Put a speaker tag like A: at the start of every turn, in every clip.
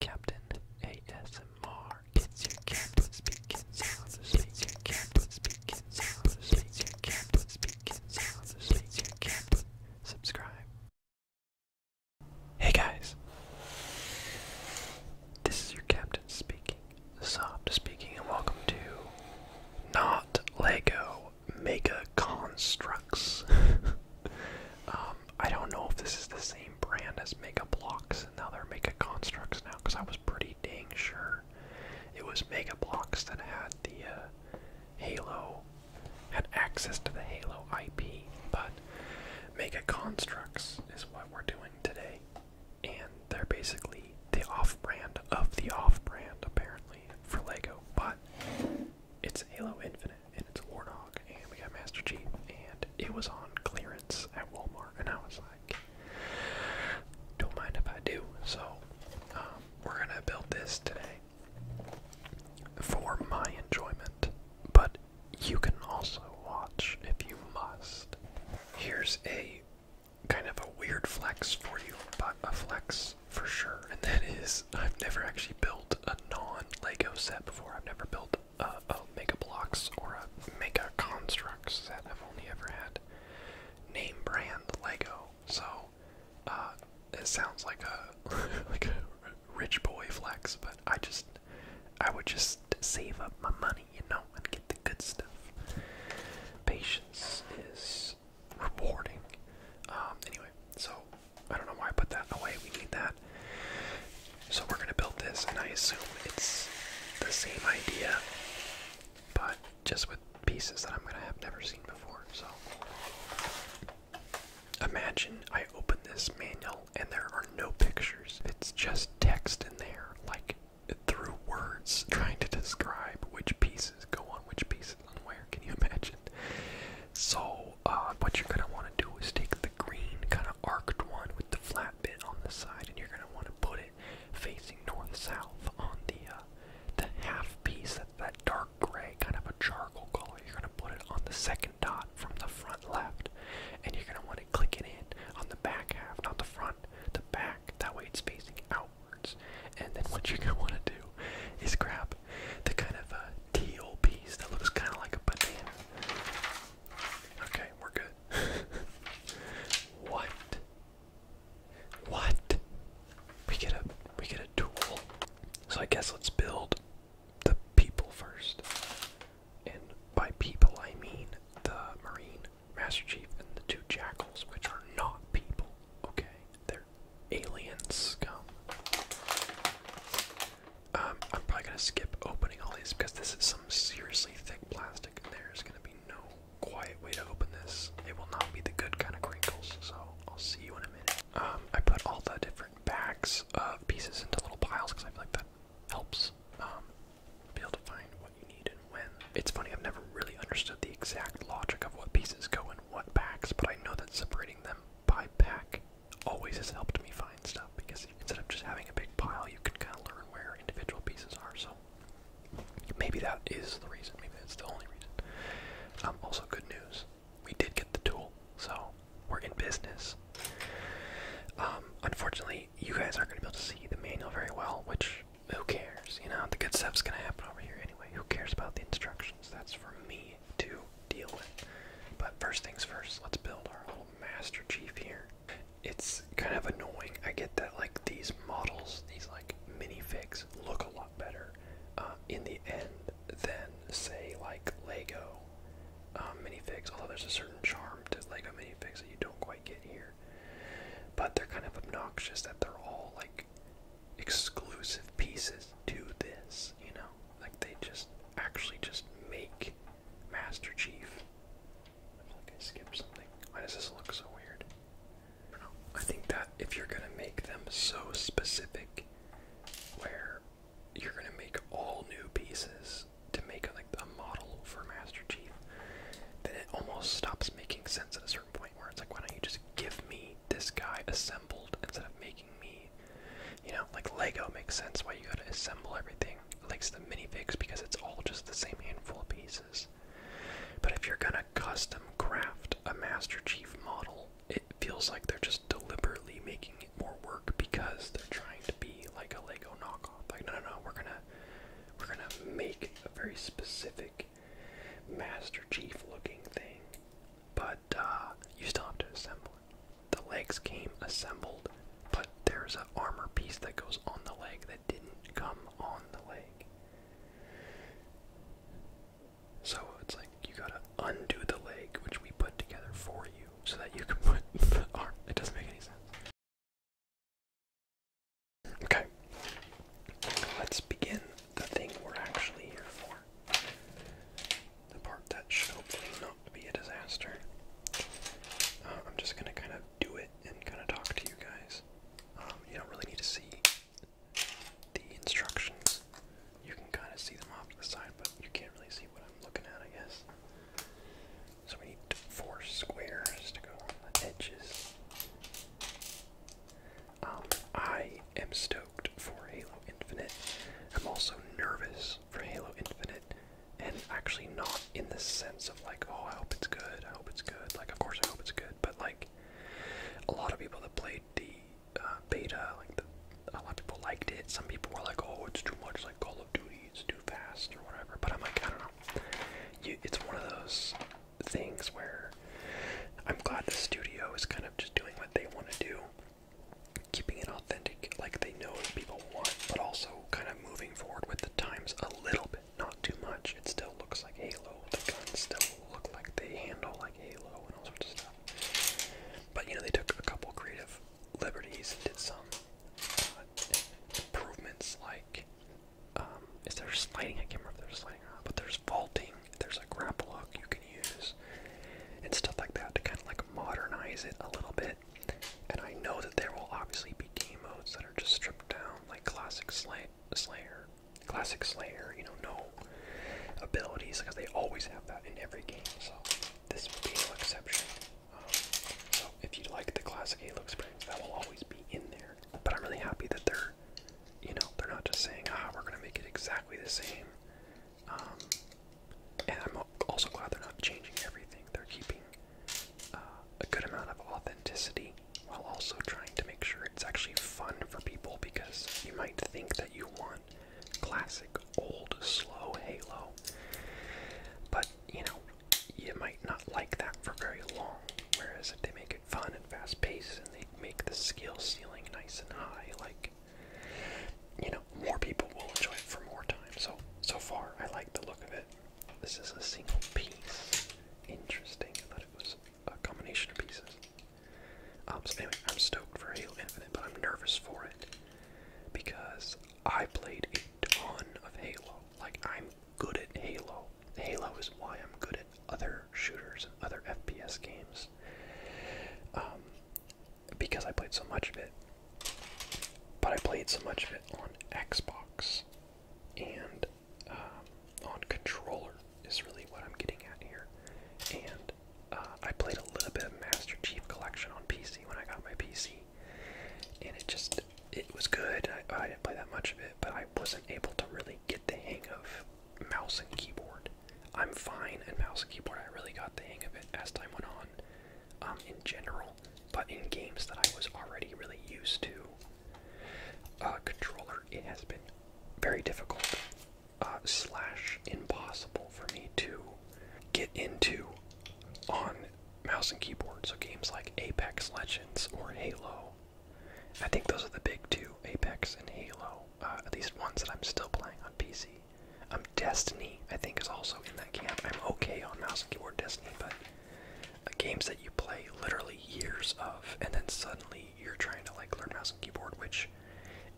A: Captain ASMR. It's your captain speaking softly. It's your captain speaking It's your captain speaking It's your captain. Subscribe. Hey guys. This is your captain speaking. Soft speaking, and welcome to not Lego Mega Constructs. Um, I don't know if this is the same brand as Mega Blocks, and now they're Mega Constructs now, because I was pretty dang sure it was Mega Blocks that had the uh, Halo, had access to the Halo IP, but Mega Constructs is what we're doing today, and they're basically the off-brand of the off-brand, apparently, for LEGO, but it's Halo Infinite and it's a war Warnog, and we got Master Chief, and it was on clearance at Walmart, and I was like, don't mind if I do. So, um, we're gonna build this today for my enjoyment, but you can also watch if you must. Here's a kind of a weird flex for you, but a flex for sure, and that is I've never actually built a non Lego set before. I've never built uh, oh, mega blocks or a mega constructs that I've only ever had name brand Lego. So uh, it sounds like a like rich boy flex, but I just I would just save up my money, you know, and get the good stuff. Patience is rewarding. Um, anyway, so I don't know why I put that away. We need that. So we're gonna build this, and I assume it's the same idea, but just with pieces that I'm gonna have never seen before. So imagine I open this manual and there are no pictures. It's just text in there, like through words, trying to describe which pieces go on which pieces and where. Can you imagine? So, uh, what you're gonna want to do is take the green kind of arced one with the flat bit on the side, and you're going to want to put it facing north-south on the uh, the half piece that that dark gray kind of a charcoal color. You're going to put it on the second dot from the front left, and you're going to want to click it in on the back half, not the front, the back. That way it's facing outwards. And then what you're going to want to do is grab the kind of uh, teal piece that looks kind of like a banana. Okay, we're good. what? What? We get a we get a tool. So I guess let's build the people first. And by people I mean the Marine, Master Chief, and the two jackals, which are not people. Okay. They're aliens. Come. Um, I'm probably gonna skip opening all these because this is some seriously thick plastic, and there's gonna be no quiet way to open this. It will not be the good kind of crinkles, so I'll see you in a minute. Um, I put all the different bags of pieces into little piles because I feel like that helps um, be able to find what you need and when. It's funny, I've never really understood the exact logic of what pieces go in what packs, but I know that separating them by pack always has helped me find stuff because instead of just having a big pile, you can kind of learn where individual pieces are. So maybe that is the reason. Maybe that's the only reason. Um, also, good news: we did get the tool, so we're in business. Um, unfortunately, you guys aren't going to be able to see the manual very well, which who cares? You know, the good stuff is going to happen over here anyway. Who cares about the instructions? That's for me to deal with. But first things first, let's build our little Master Chief here. It's kind of annoying. I get that like these models, these like minifigs, look a lot better um, in the end than say like Lego um, minifigs. Although there's a certain charm to Lego minifigs that you don't quite get here. But they're kind of obnoxious that they're all like exclusive pieces to this, you know. Like they just actually just make Master Chief. Why does this look so weird? I think that if you're gonna make them so specific, where you're gonna make all new pieces to make a, like a model for Master Chief, then it almost stops making sense at a certain point where it's like, why don't you just give me this guy assembled instead of making me, you know, like Lego makes sense why you gotta assemble everything, likes the minifigs because it's all just the same handful of pieces. But if you're gonna custom craft a Master Chief model, it feels like they're just deliberately making it more work because they're trying to be like a Lego knockoff. Like no no no, we're gonna we're gonna make a very specific Master Chief looking thing, but uh, you still have to assemble it the legs came assembled, but there's an armor piece that goes on the leg that didn't come on the leg. So it's like you gotta undo the leg, which we put together for you, so that you can put the arm. It doesn't make any sense. Okay. Let's begin the thing we're actually here for the part that should hopefully not be a disaster. Uh, I'm just gonna kind of do it and kind of talk to you guys. Um, you don't really need to see the instructions. You can kind of see them off to the side, but you can't really see what I'm looking at, I guess. So we need four squares to go on the edges. Um, I am stoked for Halo Infinite. I'm also nervous for Halo Infinite, and actually not in the sense of like, oh, I hope it's good, I hope it's good. Like, of course I hope it's good, but like, a lot of people that played the uh, beta, like a lot of people liked it. Some people were like, oh, it's too much, like Call of Duty, it's too fast or whatever. But I'm like, I don't know. it's one of those things where I'm glad the studio is kind of just doing what they want to do keeping it authentic, like they know what people want, but also kind of moving forward with the times a little bit, not too much. It still looks like Halo. The guns still look like they handle like Halo and all sorts of stuff. But you know, they took a couple creative liberties and did some uh, improvements, like um, is there sliding? I can't remember if there's sliding or not, but there's vaulting. There's a grapple hook you can use and stuff like that to kind of like modernize it a little bit. And I know that there will obviously be game modes that are just stripped down, like classic Slayer, classic Slayer. You know, no abilities because they always have that in every game. So this will be no exception. Um, so if you like the classic Halo experience, that will always be in there. But I'm really happy that they're, you know, they're not just saying, ah, we're gonna make it exactly the same. Um, and I'm also glad they're not changing everything. They're keeping uh, a good amount of authenticity while also trying to make sure it's actually fun for people because you might think that you want classic, old, slow Halo. But, you know, you might not like that for very long. Whereas if they make it fun and fast paced and they make the skill ceiling nice and high, like you know, more people will enjoy it for more time. So, so far, I like the look of it. This is a single piece. Interesting. I thought it was a combination of pieces. Um, anyway, I'm stoked for Halo Infinite, but I'm nervous for it because I played a ton of Halo. Like, I'm good at Halo. Halo is why I'm good at other shooters and other FPS games. Um, because I played so much of it. But I played so much of it on Xbox and um, on controller, is really what I'm getting at here. And uh, I played a little bit of Master Chief Collection on PC when I got my PC, and it just it was good. I, I didn't play that much of it, but I wasn't able to really get the hang of mouse and keyboard. I'm fine at mouse and keyboard. I really got the hang of it as time went on. Um, in general, but in games that I was already really used to, uh, controller, it has been very difficult, uh, slash impossible for me to get into on mouse and keyboard. So games like Apex Legends or Halo, I think those are the big two, Apex and Halo, uh, at least ones that I'm still playing on PC. I'm um, Destiny, I think, is also in that camp. I'm okay on mouse and keyboard Destiny, but uh, games that you play literally years of, and then suddenly you're trying to like learn mouse and keyboard, which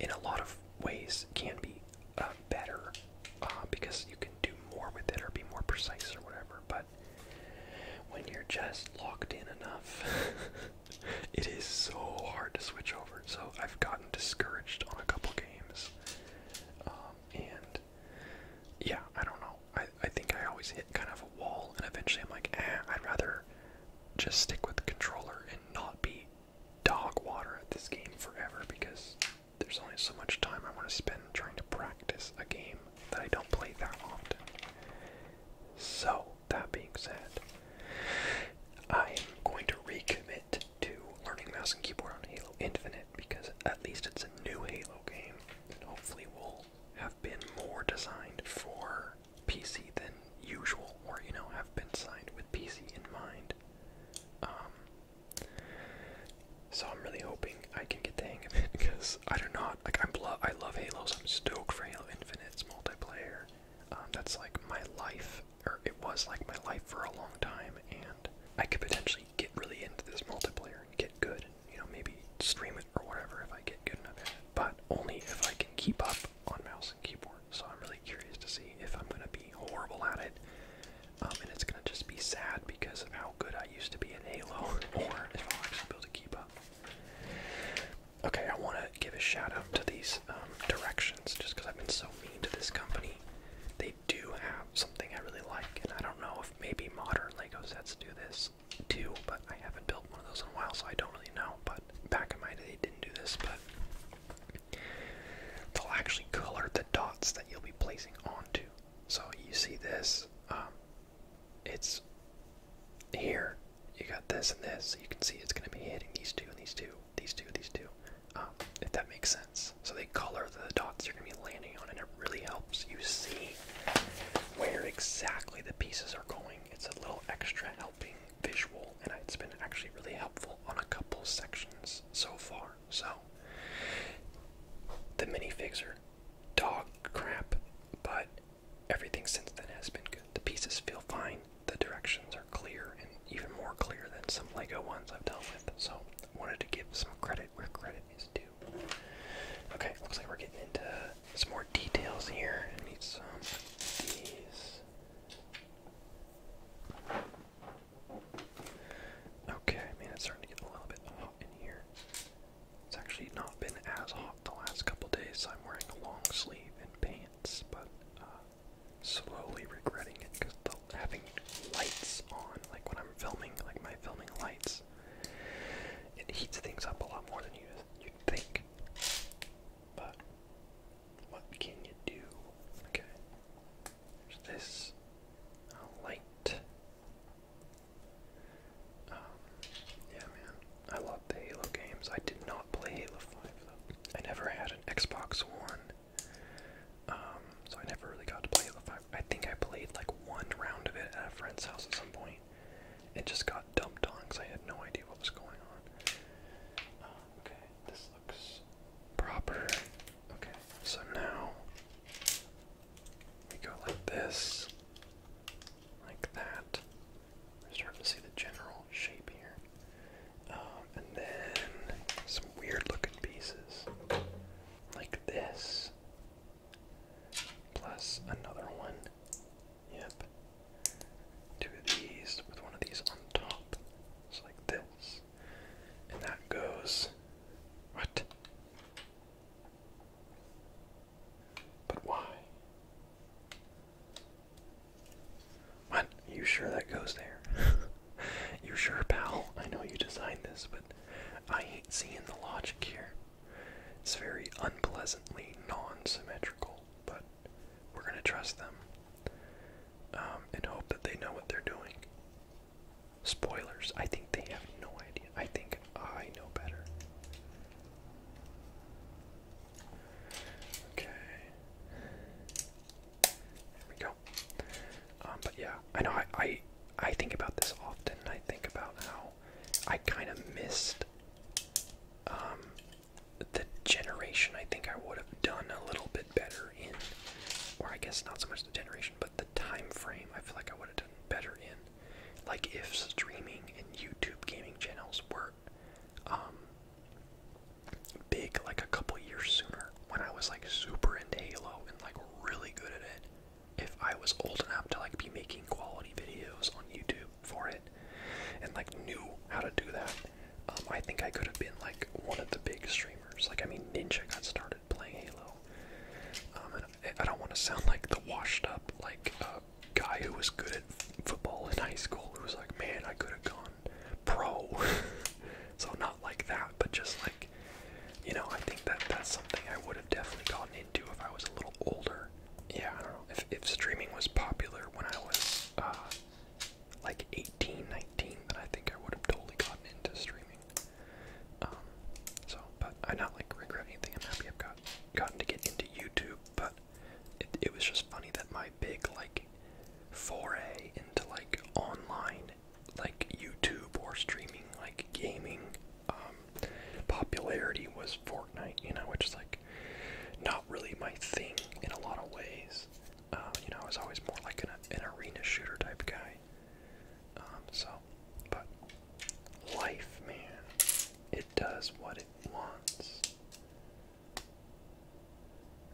A: in a lot of ways can be uh, better uh, because you can do more with it or be more precise or whatever. But when you're just locked in enough, it is so hard to switch over. So I've gotten discouraged on a couple games um, and yeah, I don't know. I, I think I always hit kind of a wall, and eventually I'm like, eh, I'd rather just stick with the controller and not be dog water at this game forever because there's only so much time I want to spend trying to practice a game that I don't play that often. So, that being said, I'm going to recommit to learning mouse and keyboard on Halo Infinite because at least it's a new Halo game and hopefully will have been more designed for PC than usual or you know have been signed with PC in mind. Um, so I'm really hoping I can get the hang of it because I do not like I'm lo I love Halos. I'm stoked for Halo Infinite's multiplayer. Um, that's like my life or it was like my life for a long time, and I could potentially get really into this multiplayer and get good. You know, maybe stream it or whatever if I get good enough at it. But only if I can keep up on mouse and keyboard. So I'm really curious to see if I'm gonna be horrible at it, um, and it's gonna just be sad because of how good I used to be in Halo, or if I'll actually be able to keep up. Okay, I want to give a shout out to these um, directions just because I've been so mean to this company. They do have something I really like, and I don't know if maybe modern Lego sets do this too, but I haven't built one of those in a while, so I don't really know. But back in my day, they didn't do this, but they'll actually color the dots that you'll be placing onto. So you see this, um, it's here. You got this and this, so you can see it's going to be hitting these two and these two, these two, these two. Um, if that makes sense. So they color the dots you're going to be landing on, and it really helps you see where exactly the pieces are going. It's a little extra helping visual, and it's been actually really helpful on a couple sections so far. So the minifigs are dog crap, but everything since then has been good. The pieces feel fine the directions are clear and even more clear than some Lego ones I've dealt with. So I wanted to give some credit where credit is due. Okay, looks like we're getting into some more details here. I need some of these. Okay, man, it's starting to get a little bit hot in here. It's actually not been as hot the last couple days. So I'm wearing long sleeve and pants, but uh, slowly regretting it because having lights on, like when I'm filming, like my filming lights, it heats things up a lot more than you you'd think. But what can you do? Okay, there's this uh, light. Um, yeah, man, I love the Halo games. I did not play Halo Five though. I never had an Xbox One. Um, so I never really got to play it. I think I played like one round of it at a friend's house at some point. It just got dumped on because I had no idea what was going on. Um, okay, this looks proper. Okay, so now we go like this, like that. We're starting to see the general shape here. Um, and then some weird looking pieces like this, plus another one. Yep. Two of these with one of these on top. It's like this. And that goes. What? But why? What? You sure that goes there? you sure, pal? I know you designed this, but I ain't seeing the logic here. It's very unpleasantly non-symmetrical, but we're gonna trust them um, and hope that they know what they're doing. Spoilers, I think they have no idea. I think I know better. Okay. There we go. Um, but yeah, I know I, I think about this often. I think about how I kind of missed um, the generation. I think I would have done a little bit better in, or I guess not so much the generation, but the time frame. I feel like I would have done better in, like if streaming and YouTube gaming channels were um, big like a couple years sooner when I was like super into Halo and like really good at it. If I was old enough to like be making quality videos on YouTube for it and like knew how to do that, um, I think I could have been like one of the big streamers. Like I mean, Ninja got started playing Halo. Um, I don't want to sound like the washed up like uh, guy who was good at football in high school who was like, man, I could have gone pro. so not like that, but just like you know, I think that that's something I would have definitely gotten into if I was a little older. Yeah, I don't know. If if streaming was popular when I was uh like 18, 19, then I think I would have totally gotten into streaming. Um so but I am not like regret anything. I'm happy I've got gotten to get into YouTube, but it, it was just funny that my big like foray into like online like YouTube or streaming like gaming um, popularity was Fortnite, you know, which is like not really my thing in a lot of ways. Uh, you know, I was always more like an, arena shooter type guy. Um, so, but life, man, it does what it wants.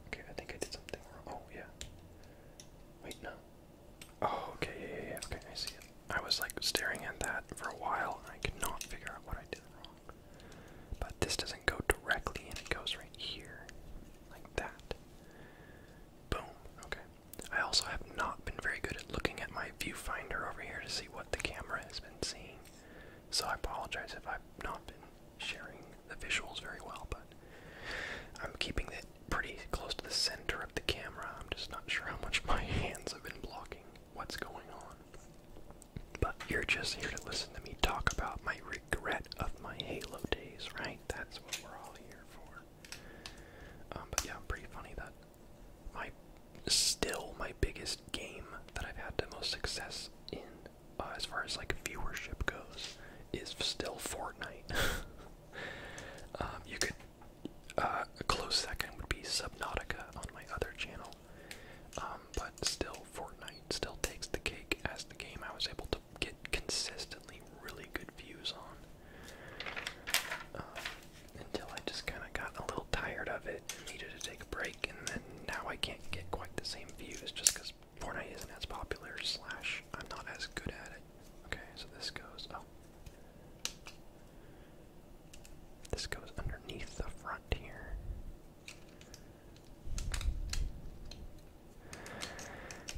A: Okay, I think I did something wrong. Oh, yeah. Wait, no. Oh, okay, yeah, yeah, Okay, I see it. I was like staring at that for a while I could not figure out what I did wrong. But this doesn't go directly and it goes right here. Like that. Boom. Okay. I also have not been very good at looking at my viewfinder over here to see what the camera has been seeing. So I apologize if I've not been sharing the visuals very well, but I'm keeping it pretty close to the center of the camera. I'm just not sure how much my hands have been blocking what's going on. But you're just here to listen to me talk about my regret of my Halo days, right? That's what we're all here for. Um, but yeah, I'm pretty funny that my still my biggest game that I've had the most success in uh, as far as like viewership goes, is still Fortnite. um, you could uh, a close second would be Subnautica on my other channel, um, but still Fortnite still takes the cake as the game I was able to get consistently really good views on. Um, until I just kind of got a little tired of it and needed to take a break, and then now I can't get quite the same views just because Fortnite isn't as popular, slash, I'm not as good at it. Okay, so this goes, oh. This goes underneath the front here.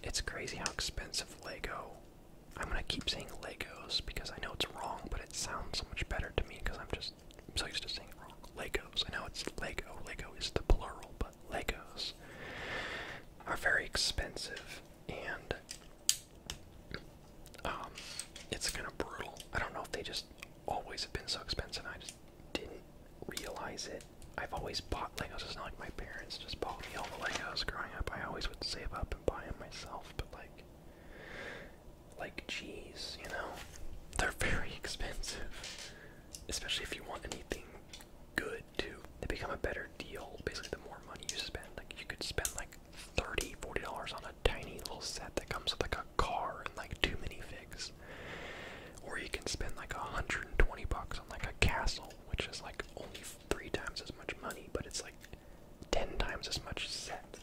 A: It's crazy how expensive Lego. I'm gonna keep saying Legos because I know it's wrong, but it sounds so much better to me because I'm just I'm so used to saying wrong. Legos. I know it's Lego. Lego is the plural, but. Legos are very expensive and um, it's kind of brutal. I don't know if they just always have been so expensive. I just didn't realize it. I've always bought Legos. It's not like my parents just bought me all the Legos growing up. I always would save up and buy them myself, but like, like, jeez, you know, they're very expensive especially if you want anything good to They become a better deal basically the more money you spend. Like you could spend like 30 40 dollars on a tiny little set that comes with like a car and like two minifigs. Or you can spend like 120 bucks on like a castle, which is like only three times as much money, but it's like ten times as much set.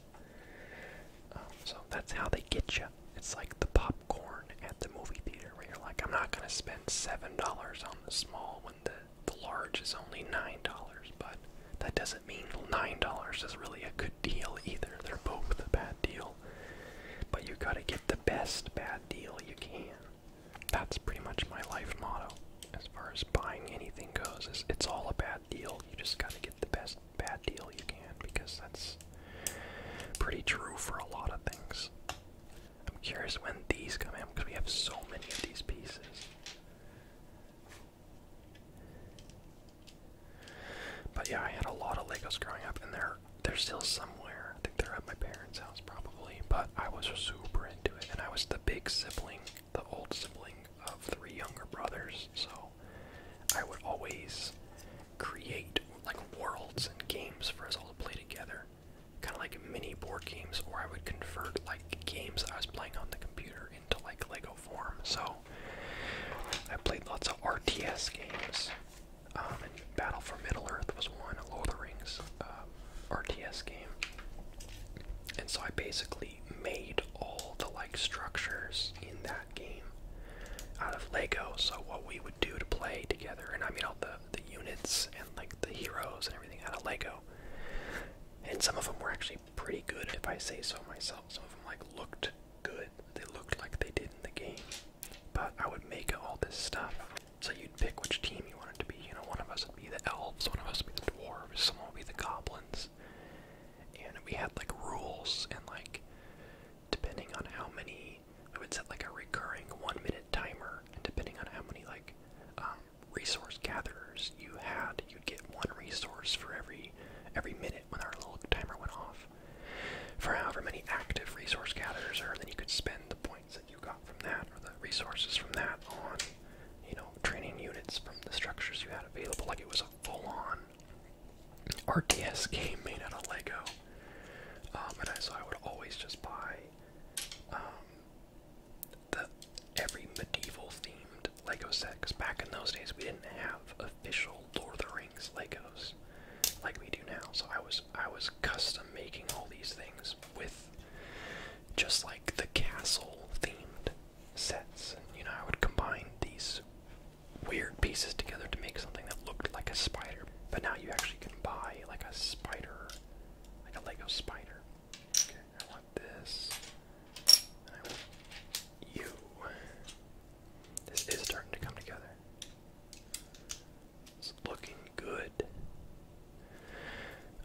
A: Um, so that's how they get you. It's like the popcorn at the movie theater where you're like, I'm not gonna spend seven dollars on the small when the, the large is only nine dollars, but that doesn't mean nine dollars is really a good deal either. They're both a bad deal. But you gotta get the best bad deal you can. That's pretty much my life motto as far as buying anything goes. Is it's all a bad deal. You just gotta get the best bad deal you can because that's pretty true for a lot of things. I'm curious when these come in because we have so many of these pieces. But yeah, I had a lot of Legos growing up, and they're they're still somewhere. I think they're at my parents' house probably. But I was super into it, and I was the big sibling, the old sibling of three younger brothers. So I would always create like worlds and games for us all to play together, kind of like mini board games, or I would convert like games I was playing on the computer into like Lego form. So I played lots of RTS games. Um, Battle for Middle Earth was one, Lord of the Rings uh, RTS game. And so I basically made all the like structures in that game out of Lego. So what we would do to play together, and I mean all the the units and like the heroes and everything out of Lego. And some of them were actually pretty good, if I say so myself. Some of them like looked good. They looked like they did in the game. But I would make all this stuff. So you'd pick which team you wanted to be. You know, one of us would be the elves, one of us would be the dwarves, some would be the goblins. And we had like rules and like depending on how many I would set like a recurring one minute timer, and depending on how many like um, resource gatherers you had, you'd get one resource for every every minute when our little timer went off. For however many active resource gatherers are, then you could spend the points that you got from that or the resources from that on, you know, training units from the structures you had available. Like it was a full-on RTS game made out of Lego. Um, and I, so I would always just buy um, the every medieval themed Lego set. Cause back in those days we didn't have official Lord of the Rings Legos like we do now. So I was I was custom making all these things with just like the castle themed sets. You know I would combine these weird pieces together to make something that looked like a spider. But now you actually can buy like a spider, like a Lego spider. Okay, I want this. you. This is starting to come together. It's looking good.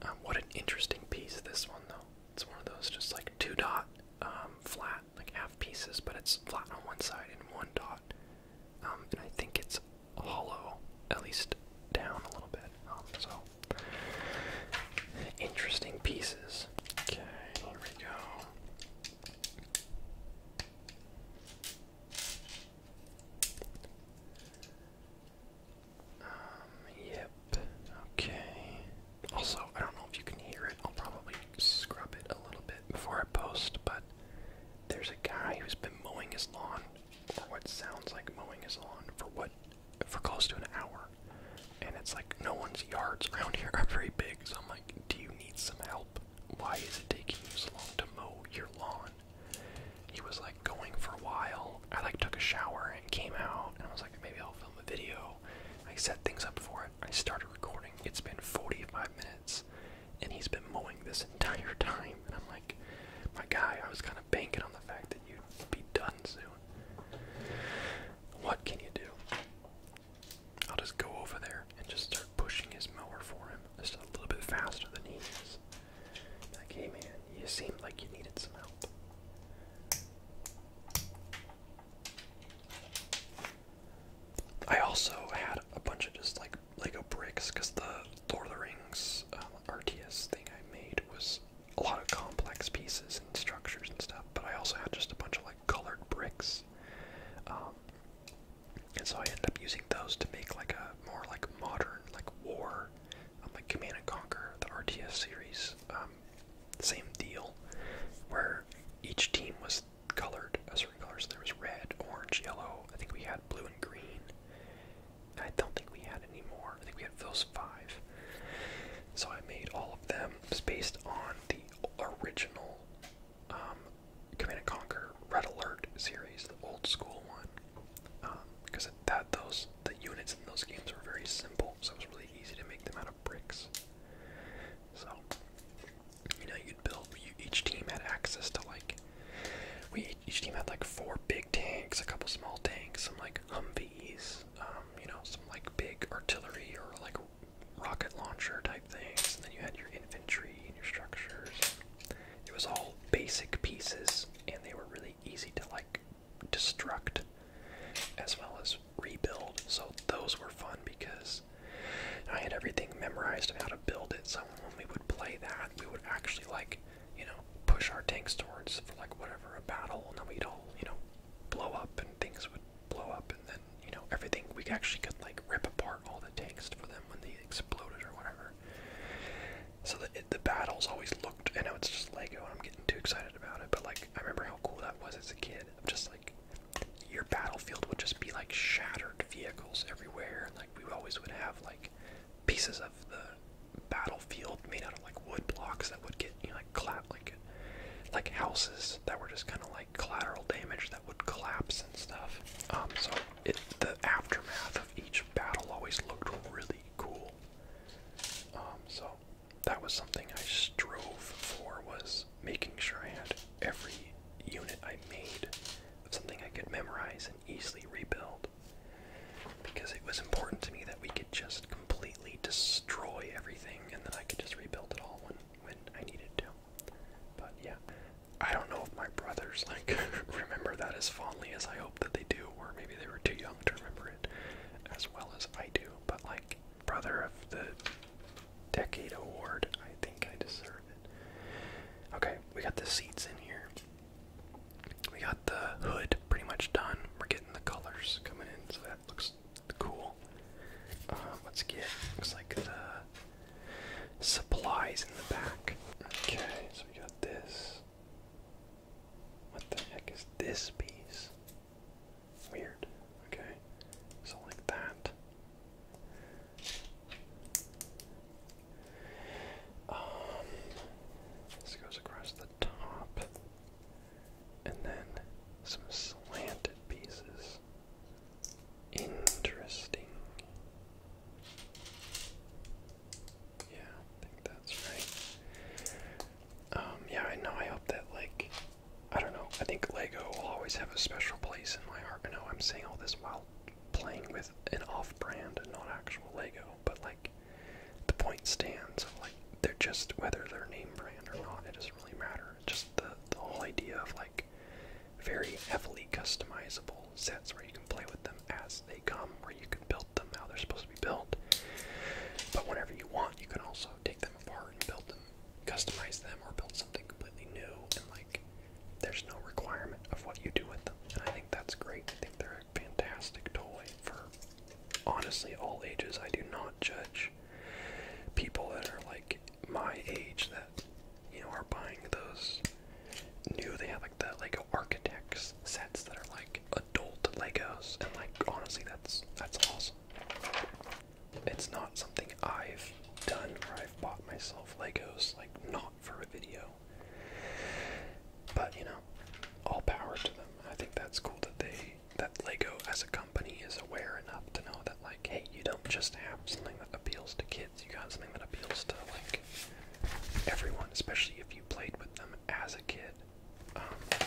A: Um, what an interesting piece this one though. It's one of those just like two dot um, flat like half pieces, but it's flat on one side and one dot um, and I think it's hollow, at least down a little bit. Um, so interesting pieces. Okay, here we go. Um, yep. Okay. Also, I don't know if you can hear it. I'll probably scrub it a little bit before I post, but there's a guy who's been mowing his lawn, or what sounds like mowing his lawn, for what for close to an hour. And it's like no one's yards around here are very big, so I'm like, do you need some help? Why is it taking you so long to mow your lawn? He was like going for a while. I like took a shower and came out, and I was like, maybe I'll film a video. I set things up for it. I started recording. It's been 45 minutes and he's been mowing this entire time. And I'm like, my guy, I was kind of banking on the fact that you'd be done soon. What can you do? I'll just go over there and just start pushing his mower for him, just a little bit faster than he is. Like, hey man, you seemed like you needed some help. I also had a bunch of just like Lego bricks because the Lord of the Rings uh, RTS thing I made was a lot of complex pieces and structures and stuff, but I also had just a bunch of like colored bricks. Um, and so I ended up using those to make like a more like modern like war, um, like Command and Conquer, the RTS series. Um, same deal, where each team was colored a uh, certain color. there was red, orange, yellow. I think we had blue and green. I don't think we had any more. I think we had those five. So I made all of them based on the original um, Command and Conquer Red Alert series, the old school one, because um, that those the units in those games were very simple, so it was really easy to make them out of bricks. So you know, you'd build. each team had access to like, we each team had like four big tanks, a couple small tanks, some like Humvees, um, you know, some like big artillery or like rocket launcher type things, and then you had your infantry and your structures. It was all basic pieces, and they were really easy to like destruct as well as rebuild. So those were fun because I had everything memorized on how to build it, so when we would play that, we would actually like, you know, push our tanks towards for like whatever a battle, and then we'd all, you know, blow up and things would blow up, and then you know everything we actually could like rip apart all the tanks for them when they exploded or whatever. So the battles always looked. I know it's just Lego, and I'm getting too excited about it, but like I remember how cool that was as a kid. I'm just like your battlefield would just be like shattered vehicles everywhere. Like we always would have like pieces of the battlefield made out of like wood blocks that would get you know like clap like like houses that were just kind of like collateral damage that would collapse and stuff. Um, so it, the aftermath of each battle always looked really cool. Um, so that was something I strove for was making sure I had every unit I made of something I could memorize and easily rebuild. Because it was important to me that we could just completely destroy everything and then I could just rebuild it all when, when I needed to. But yeah, I don't know if my brothers like remember that as fondly as I hope that they do, or maybe they were too young to remember it as well as I do. But like, brother of the Decade Award. I think I deserve it. Okay, we got the seats in here. We got the hood pretty much done. We're getting the colors coming in, so that looks cool. Uh, let's get, looks like the supplies in the back. Okay, so we got this. What the heck is this piece? Weird. Okay, so like that. Um, this goes across the top, and then some slanted pieces. Interesting. Yeah, I think that's right. Um, yeah, I know. I hope that, like, I don't know. I think Lego will always have a special place in my heart. I know I'm saying all this while playing with an off-brand and not actual Lego, but like the point stands. Of, like they're just whether they're name brand or not, it doesn't really matter. It's just the the whole idea of like very heavily customizable sets where you can play with them as they come, where you can build them how they're supposed to be built. But whenever you want, you can also take them apart and build them customize them or build something completely new and like there's no requirement of what you do with them. And I think that's great. I think they're a fantastic toy for honestly all ages. I do not judge people that are like my age that you know are buying those new they have like the Lego architects sets that are like adult Legos and like honestly that's that's awesome it's not something I've done or I've bought myself Legos, like, not for a video. But, you know, all power to them. I think that's cool that they, that Lego as a company is aware enough to know that, like, hey, you don't just have something that appeals to kids, you got something that appeals to, like, everyone, especially if you played with them as a kid. Um,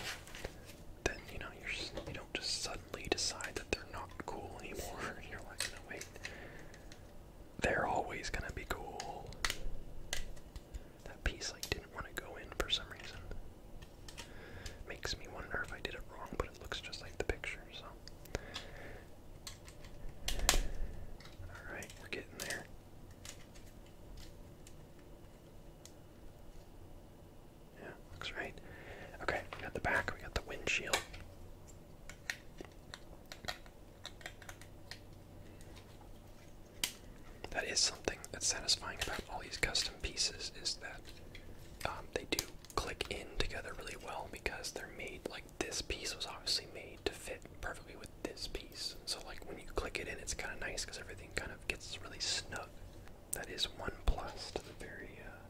A: then you know you're just, don't just suddenly decide that they're not cool anymore. You're like, no, they're always gonna be cool. That piece like didn't want to go in for some reason. Makes me wonder if I did it wrong, but it looks just like the picture, so. Alright, we're there. Yeah, looks right. Okay, got the back, we got the windshield. That is something that's satisfying about all these custom pieces is that um, they do click in together really well because they're made like this piece was obviously made to fit perfectly with this piece. So like when you click it in, it's kind of nice because everything kind of gets really snug. That is one plus to the very uh,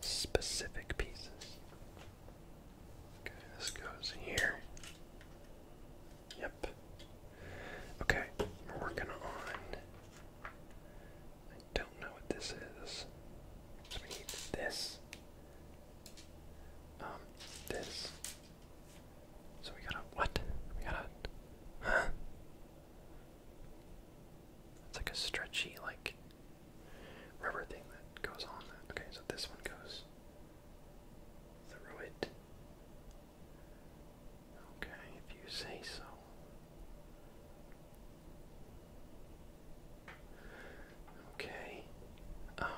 A: specific pieces. Okay, this goes here. Yep. Okay, we're working on. I don't know what this is. So we need this. Um, this. So we gotta what? We gotta huh? It's like a stretchy like rubber thing that goes on Okay, so this one goes through it. Okay, if you say so. Okay. Um,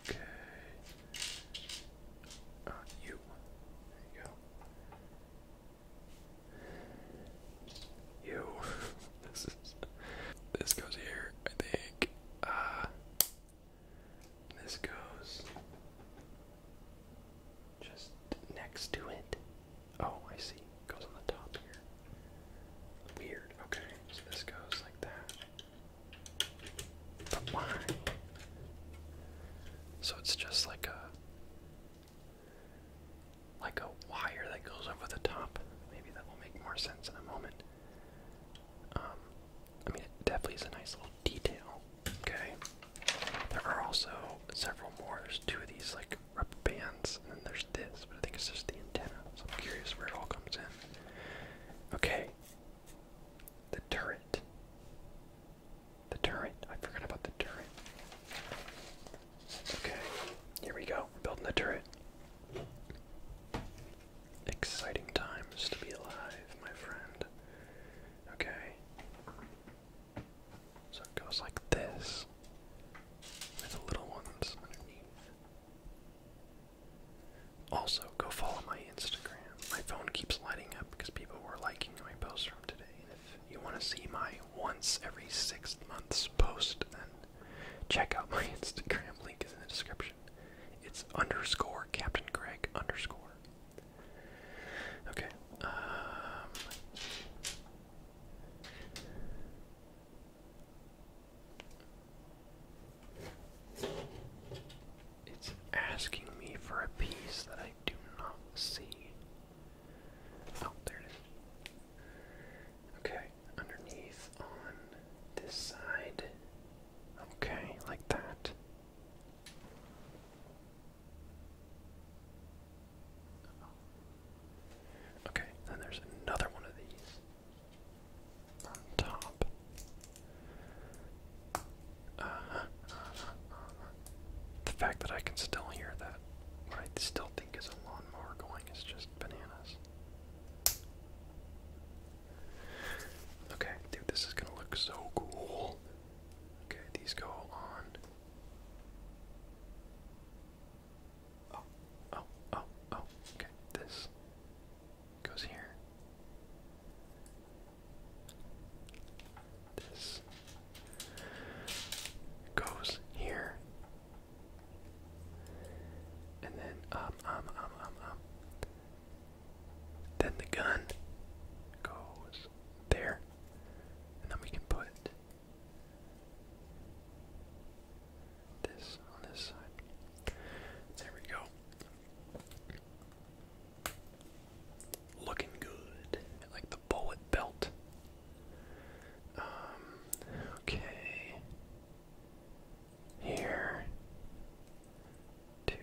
A: okay. Uh, you. There you go. Ew. this is this goes here, I think. Uh this goes just next to it. Oh, I see. Goes on the top here. Weird. Okay, so this goes like that. But why? So it's just like a like a wire that goes over the top. Maybe that will make more sense in a moment. Um, I mean, it definitely is a nice little detail. Okay. There are also several more. There's two of these like rubber bands, and then there's this, but I think it's just the antenna. So I'm curious where it all comes in. Okay. The turret. The turret. I forgot about the turret. Okay, here we go. We're building the turret. Exciting times to be alive, my friend. Okay. So it goes like this with the little ones underneath. Also, go follow my Instagram. My phone keeps lighting up because people were liking my posts from today, you want to see my once every six months post, then check out my Instagram link is in the description. It's underscore Captain Greg underscore. Okay. Um, it's asking me for a piece that I do not see. Oh, there it is. Okay, underneath on this side. Okay, like that. Okay, then there's another one of these on top. Uh huh. Uh -huh, uh-huh the fact that I can still hear that, what I still think is a lawnmower going, is just bananas. Okay, dude, this is gonna look so cool. Okay, these go on. Oh, oh, oh, oh. Okay, this goes here. This goes here. And then um um um um um. Then the gun goes there. And then we can put this on this side. There we go. Looking good. like the bullet belt. Um, okay. Here. Two.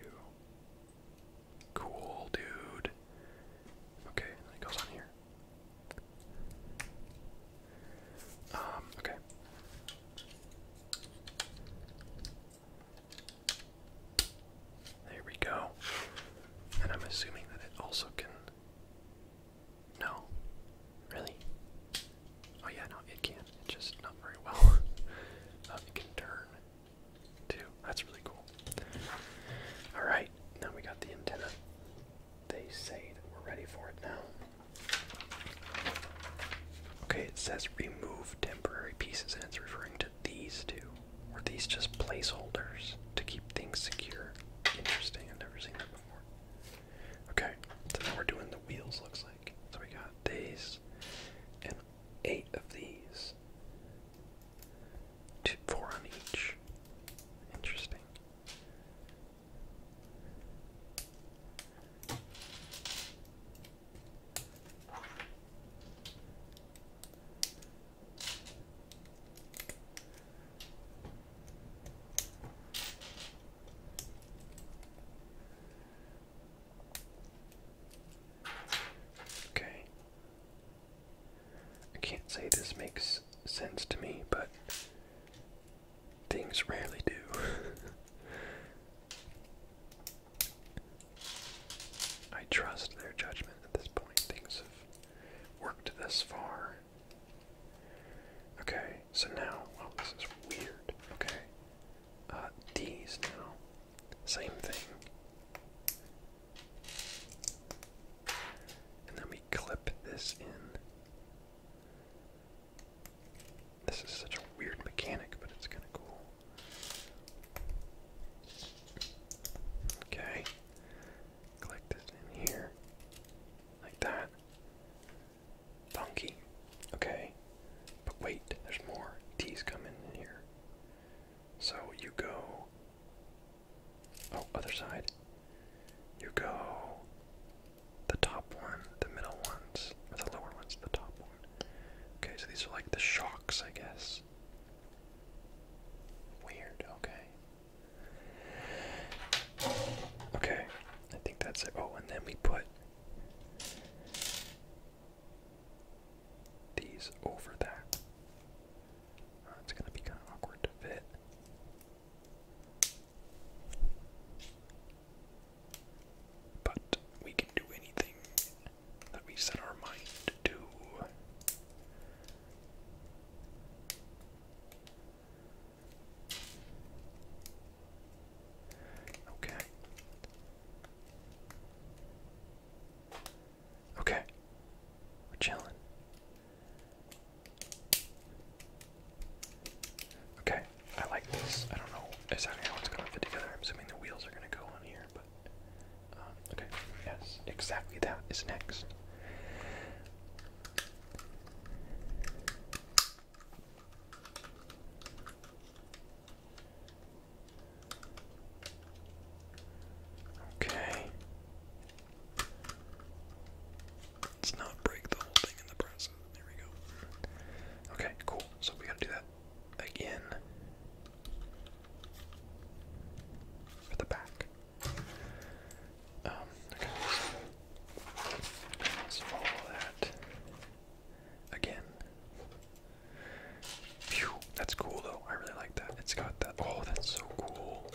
A: Cool, dude. Okay, it goes on here. Um, okay. There we go. And I'm assuming that it also can. No. Really? Oh, yeah, no, it can. It's just not very well. Uh, it can turn, too. That's really cool. Alright, now we got the antenna. They say that we're ready for it now. Okay, it says remove temporary pieces, and it's referring to these two. Were these just placeholders to keep things secure? Interesting, I've never seen that before. Okay, so now we're doing the wheels, looks like. So we got these, and eight of these. Two, four on each. Interesting. Okay. I can't say this makes sense to me, but things rarely do. I trust their judgment at this point. Things worked this far. Okay, so now, oh, this is weird. Okay, uh, these now, same thing. And then we clip this in. This is such a weird mechanic, but it's kind of cool. Okay. Click this in here. Like that. Donkey. Okay. But wait, there's more. T's coming in here. So you go. Oh, other side. You go. The top one, the middle ones, the lower ones, the top one. Okay, so these are like the shocks, I guess. Weird, okay. Okay, I think that's it. Oh, and then we put these over that. Uh, it's gonna be kind of awkward But we can do anything that we set our mind to. Okay. Okay. We're chilling. Okay, I like this. I don't know exactly how gonna fit together. I'm assuming the wheels are gonna go on here, but uh, okay, yes, exactly that is next. Okay. Let's not break the whole thing in the process. There we go. Okay, cool. So we gotta do that again for the back. Um, okay. Let's that again. that's cool though. I really like that. It's got that. Oh, that's so cool.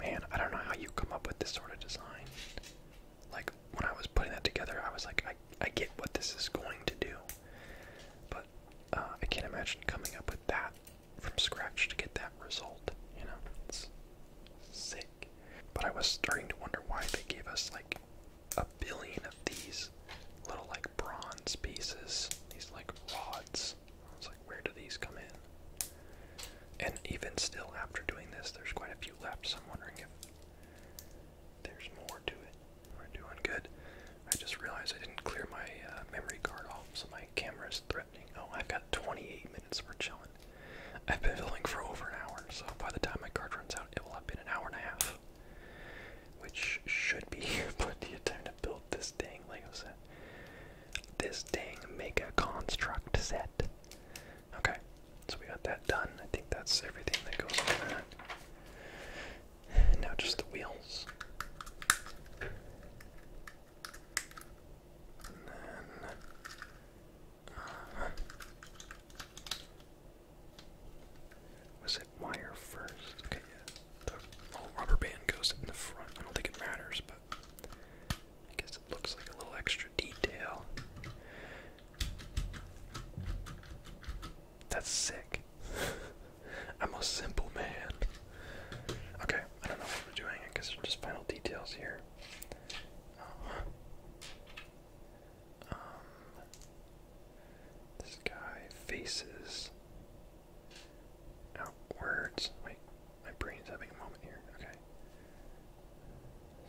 A: Man, I don't know how you come up with this sort of design. Like when I was putting that together, I was like, I, I get what this is going to do, but uh, I can't imagine coming up with that from scratch to get that result. You know, it's sick. But I was starting to wonder why they gave us like a billion of these little like bronze pieces, these like rods. where do these come in? And even still, after doing this, there's quite a few left, so I'm wondering if there's more to it. We're doing good. I just realized I didn't clear my uh, memory card off, so my camera is threatening. Oh, I've got 28 minutes. We're chilling. I've been filling for over an hour, so by the time my card runs out, it will have been an hour and a half, which should be plenty of time to build this dang Lego set. This dang mega construct set. Okay, so we got that done. I think that's everything that goes on that. Now just the wheels. Uh-huh. was it wire first? Okay, yeah. The rubber band goes in the front. I don't think it matters, but I guess it looks like a little extra detail. That's sick. I'm a simple man. Okay, I don't know what we're doing. I guess just final details here. Um, um, this guy faces outwards. Wait, my brain's having a moment here. Okay.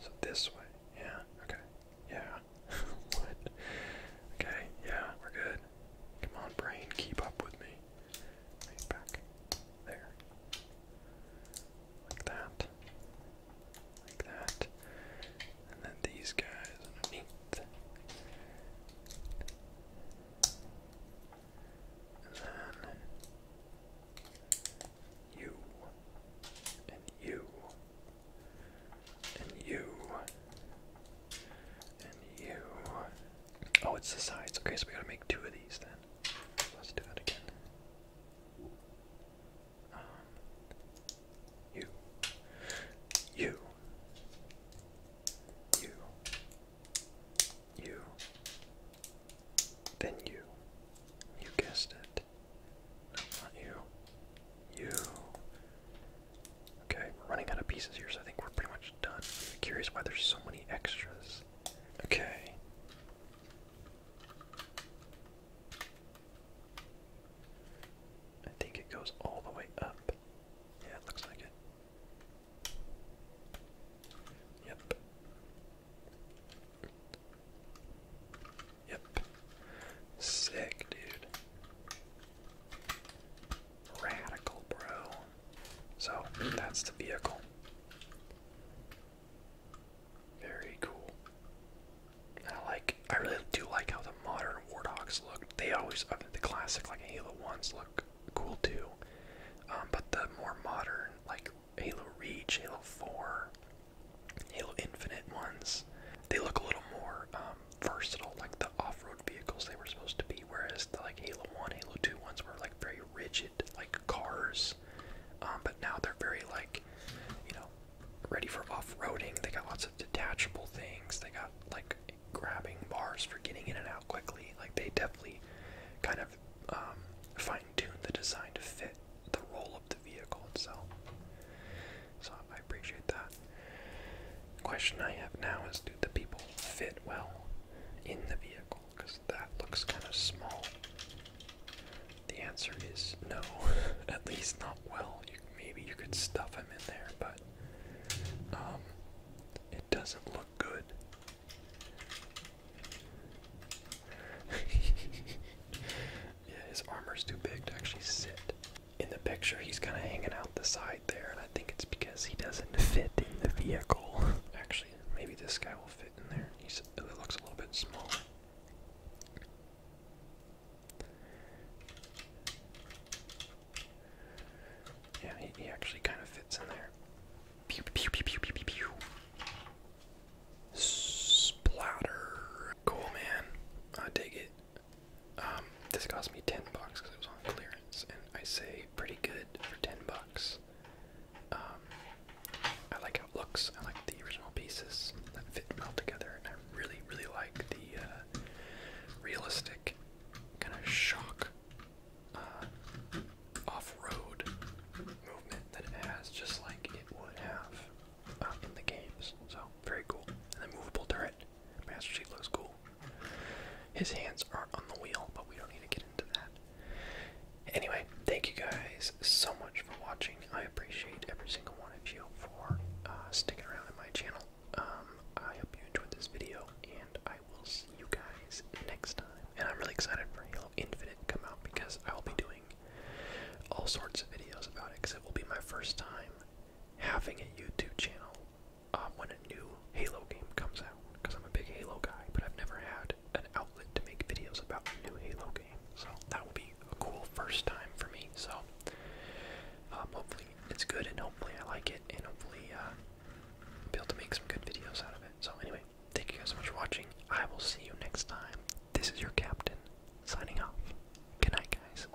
A: So this way. Yeah. Okay. Yeah. what? Okay. Yeah, we're good. Come on, brain, keep up with me. back there. Like that. Like that. And then these guys underneath. And then you and you and you you. Oh, it's the sides. Okay, so we gotta make two of these then. Let's do that again. Um, you. You. You. You. Then you. You guessed it. not you. You. Okay, we're running out of pieces here, so I think we're pretty much done. curious why there's so many extras. Okay. I think it goes all the way up. Yeah, it looks like it. Yep. Yep. Sick, dude. Radical, bro. So that's the vehicle. Very cool. I like. I really do like how the modern warthogs look. They always, the classic like Halo ones look cool too. Um, but the more modern, like Halo Reach, Halo Four, Halo Infinite ones, they look a little more um, versatile like the off-road vehicles they were supposed to be, whereas the like Halo One, Halo Two ones were like very rigid like cars. Um, but now they're very like, you know, ready for off-roading. They got lots of detachable things. They got like grabbing bars for getting in and out quickly. Like they definitely kind of um, fine-tune the design to fit the role of the vehicle itself. So I appreciate that. The question I have now is do the people fit well in the vehicle? Because that looks kind of small. The answer is no, at least not well. maybe you could stuff him in there, but um, it doesn't look good. yeah, his armor's too big to actually sit in the picture, he's kind of hanging out the side there, and I think it's because he doesn't fit in the vehicle. Actually, maybe this guy will fit in there. He's, it looks a little bit smaller. Yeah, he, actually kind of fits in there. Splatter. Cool, man. I dig it. Um, this cost me 10 bucks because it was on clearance, and I say pretty good for 10 bucks. Um, I like how it looks, I like the original pieces that fit well together, and I really, really like the uh, realistic kind of shock uh, off road movement that it has, just like it would have uh, in the games. So, very cool. And the movable turret. Master Chief looks cool. His hands aren't on the wheel, but we don't need to get into that. Anyway, thank you guys so much for watching. I appreciate every single one of you for uh, sticking around in my channel. Um, I hope you enjoyed this video, and I will see you guys next time. And I'm really excited for Halo Infinite come out because I will be doing all sorts of videos about it because it will be my first time having a YouTube channel um, when a new Halo game comes out, because I'm a big Halo guy, but I've never had an outlet to make videos about new Halo game. So that will be a cool first time for me. So um, hopefully it's good, and hopefully I like it, and hopefully uh, I'll be able to make some good videos out of it. So anyway, thank you guys so much for watching. I will see you next time. This is your captain signing off. Good night, guys.